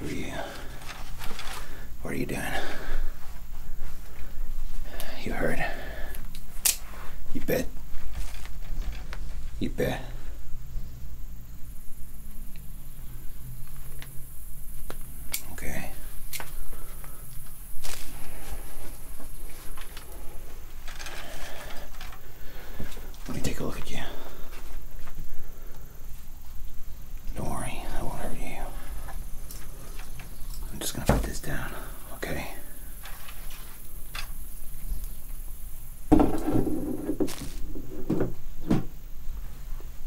Who are you? What are you doing? You heard. You bet. You bet. Okay. Let me take a look at you. Don't worry, I won't hurt you. I'm just gonna put this down, okay?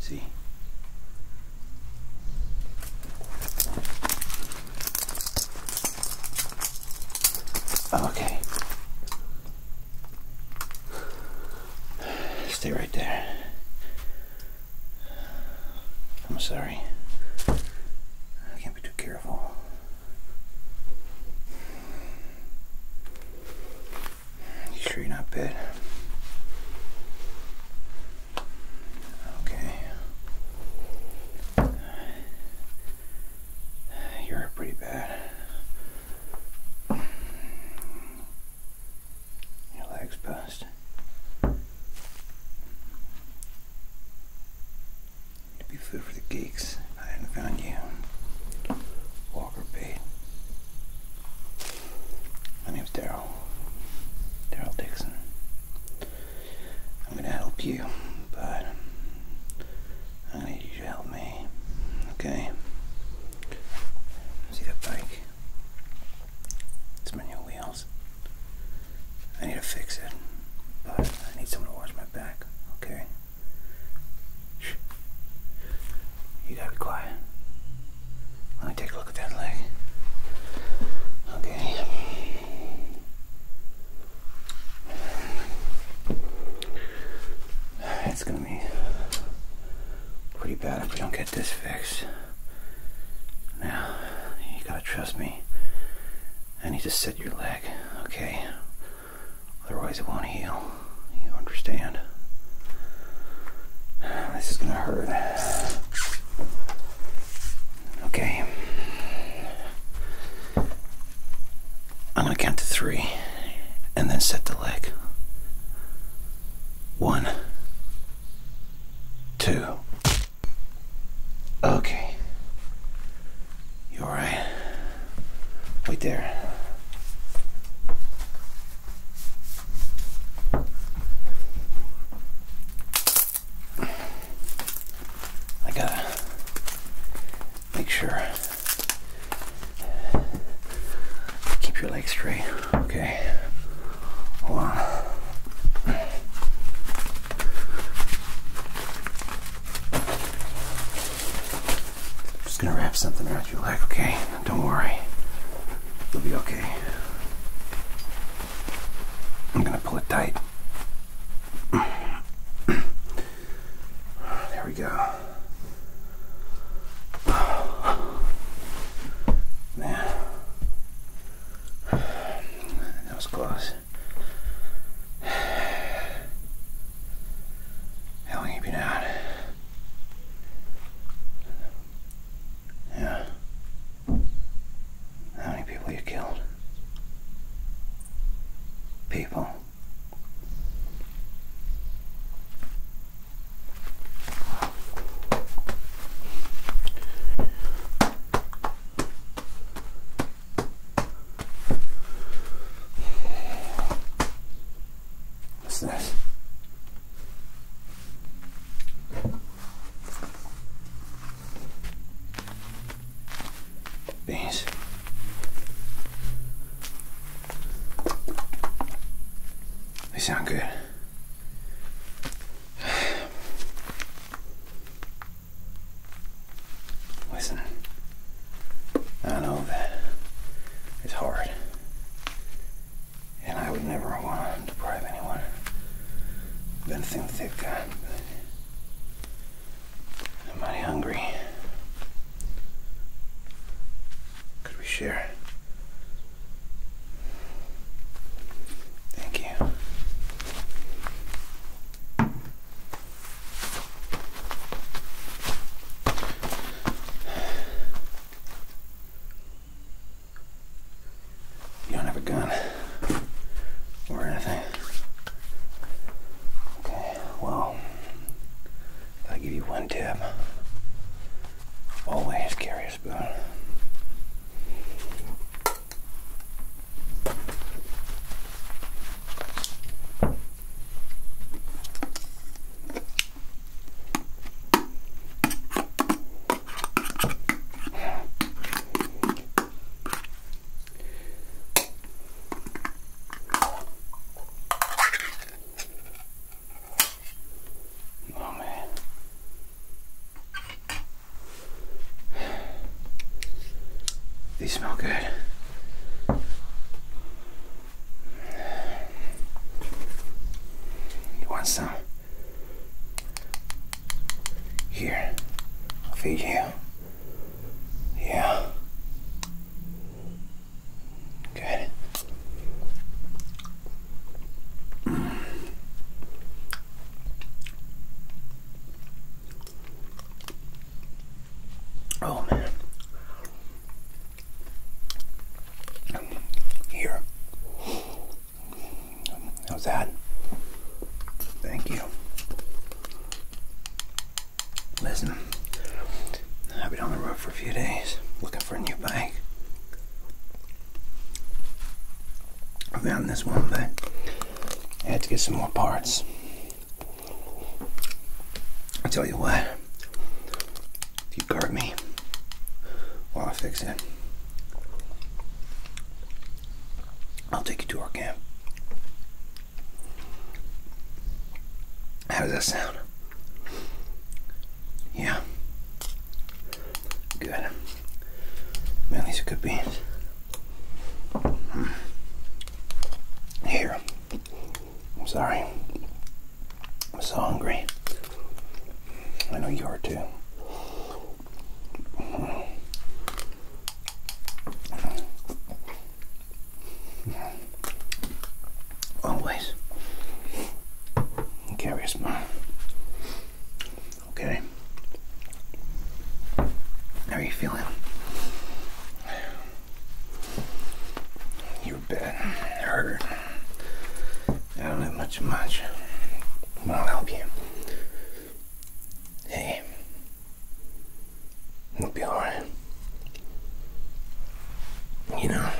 See? Okay. Stay right there. I'm sorry. I can't be too careful. You sure you're not bad? Okay. You're pretty bad. Your legs bust. To be food for the geeks I hadn't found you. Walker bait. My name's Daryl. Daryl Dixon. I'm going to help you, but I'm going to need you to help me. Okay? See that bike? It's manual wheels. I need to fix it, but I need someone to watch my back. Okay? You gotta be quiet. Let me take a look at that leg. Okay. It's gonna be pretty bad if we don't get this fixed. Now, you gotta trust me. I need to set your leg, okay? Otherwise, it won't heal. You understand? This is gonna hurt. Okay. I'm going to count to three and then set the leg. One, two. Okay. You are alright? Right there. I gotta make sure. Keep your leg straight. Okay. Hold on. just gonna wrap something around your leg, okay? Don't worry. You'll be okay. I'm gonna pull it tight there we go. Man, that was close. How long you been out? Yeah. How many people you killed? People. What's this? Beans. They sound good. Listen, I know that it's hard, and I would never want to deprive anyone been thin thick. I'm hungry. Could we share? Thank you. You don't have a gun or anything. Okay, well, I'll give you one tip. Always carry a spoon. Oh man. These smell good. You want some? Here. Over you. Yeah. Good. Oh man. Here. How's that? Thank you. Listen, I've been on the road for a few days looking for a new bike. I found this one, but I had to get some more parts. I tell you what, if you guard me while I fix it, I'll take you to our camp. How does that sound? Yeah. Good. Man, these are good beans. Hmm. Here. I'm sorry. I'm so hungry. I know you are too. Always carry a smile. Okay. How are you feeling? You bet. It hurt. I don't have much much. But I'll help you. Hey, it'll be alright. You know,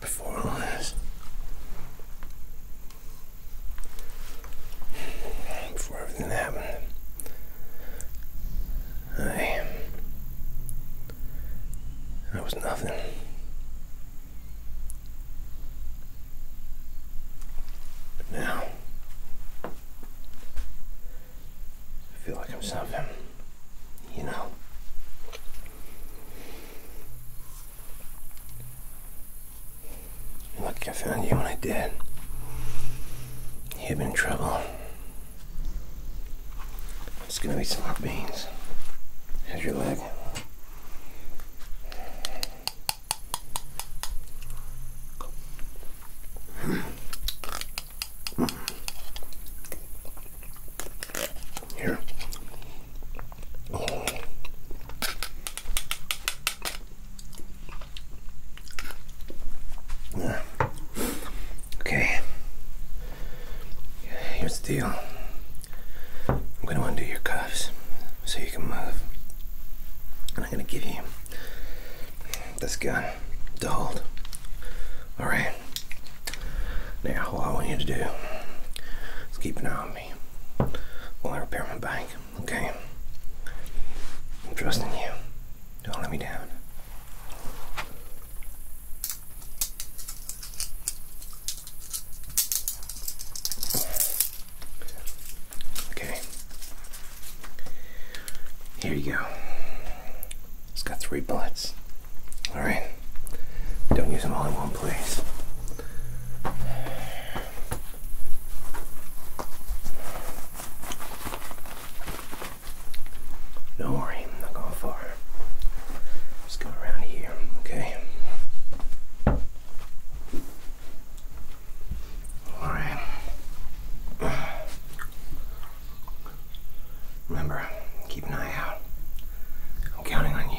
before all this, before everything happened, I, I was nothing. Now, I feel like I'm something, you know. you lucky I found you when I did. You've been in trouble. It's gonna be some hot beans. How's your leg? Here. Okay. Here's the deal. I'm going to undo your cuffs so you can move. And I'm going to give you this gun to hold. Alright? Now, all I want you to do is keep an eye on me while I repair my bike, okay? I'm trusting you. Don't let me down. Okay. Here you go. It's got three bullets. Alright. Don't use them all in one place. Don't worry, not going far. Let's go around here, okay? Alright. Remember, keep an eye out. I'm counting on you.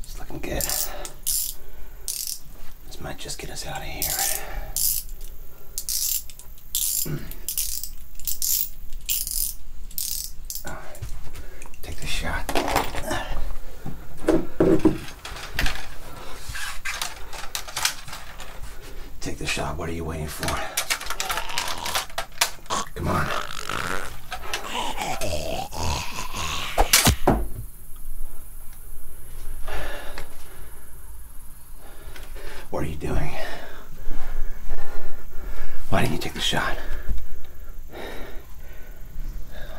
It's looking good. This might just get us out of here. Hmm take the shot. Take the shot. What are you waiting for? Come on. What are you doing? Why didn't you the shot.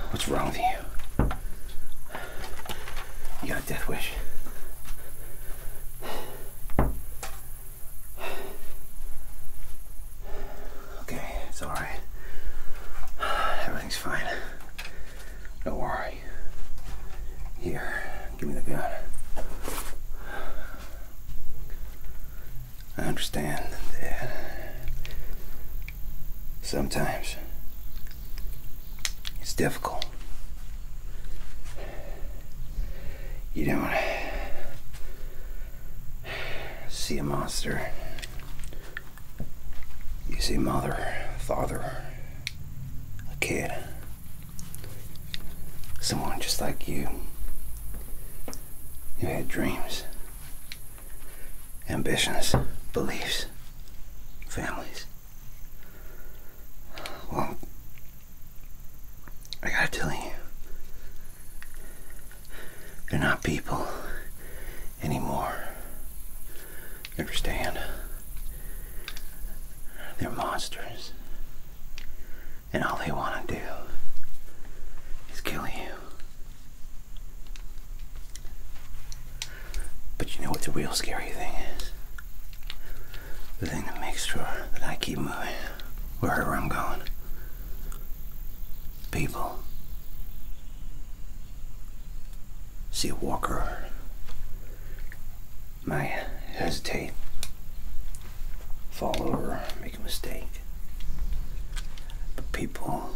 What's wrong with you? You got a death wish. Okay, it's alright. Everything's fine. Don't worry. Here, give me the gun. I understand that sometimes it's difficult. You don't see a monster, you see mother, father, a kid, someone just like you you had dreams, ambitions, beliefs, families. Well, I gotta tell you, they're not people anymore. understand? They're monsters and all they want to do is kill you. But you know what the real scary thing is? The thing that makes sure that I keep moving wherever I'm going. People see a walker. may hesitate, fall over, make a mistake. But people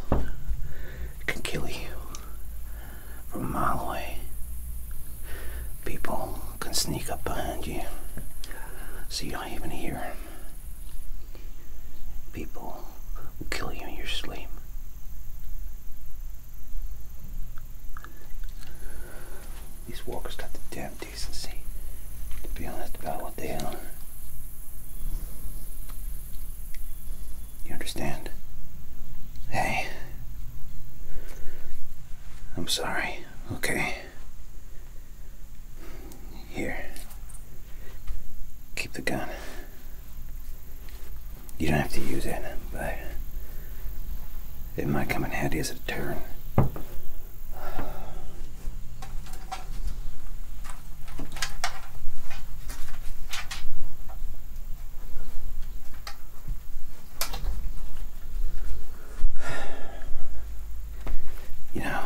can kill you from a mile away. People can sneak up behind you see you're not even here. People will kill you in your sleep. These walkers got the damn to be honest about what they are. You understand? Hey. I'm sorry. Okay. Here. Keep the gun. You don't have to use it, but it might come in handy as a deterrent. You know,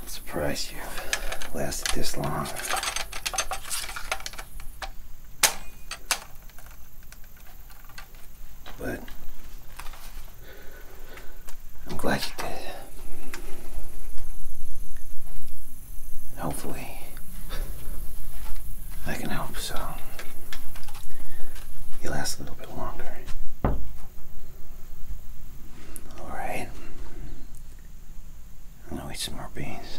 I'm surprised you lasted this long. But I'm glad you did. hopefully, I can help so you last a little bit longer. Alright. I'm gonna eat some more beans.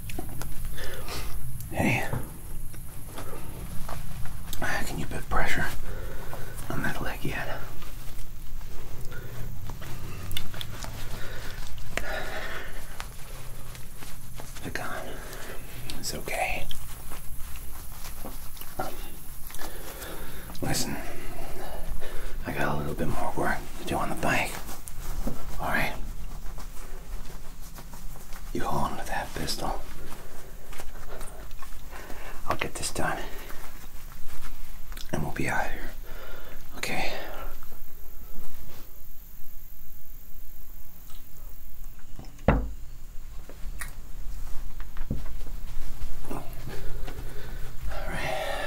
Hey, ah, can you put pressure on that leg yet? It's okay. Um, listen, I got a little bit more work to do on the bike. Alright? You hold onto that pistol. I'll get this done. And we'll be out of here. Okay. All right.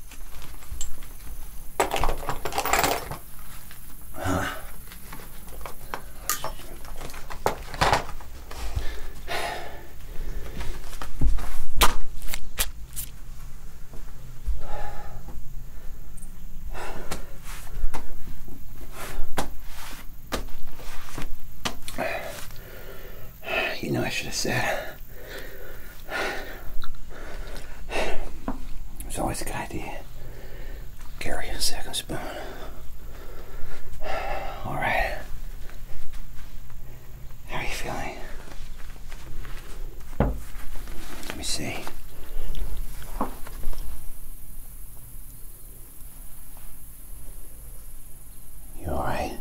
You know, I should have said. It's always a good idea. Carry a second spoon. All right. How are you feeling? Let me see. You alright?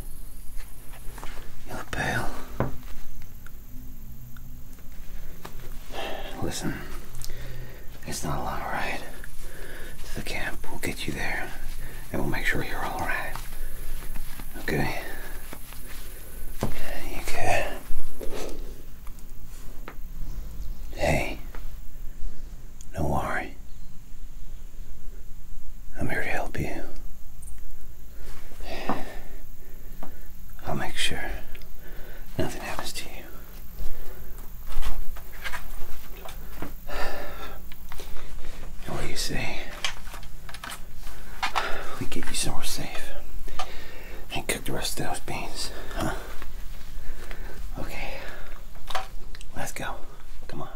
You look pale. Listen, it's not a long ride to the camp. We'll get you there and we'll make sure you're all right. Okay? You Hey, do worry. I'm here to help you. I'll make sure nothing happens to you. And what do you say? We get you somewhere safe and cook the rest of those beans, huh? Okay, let's go. Come on.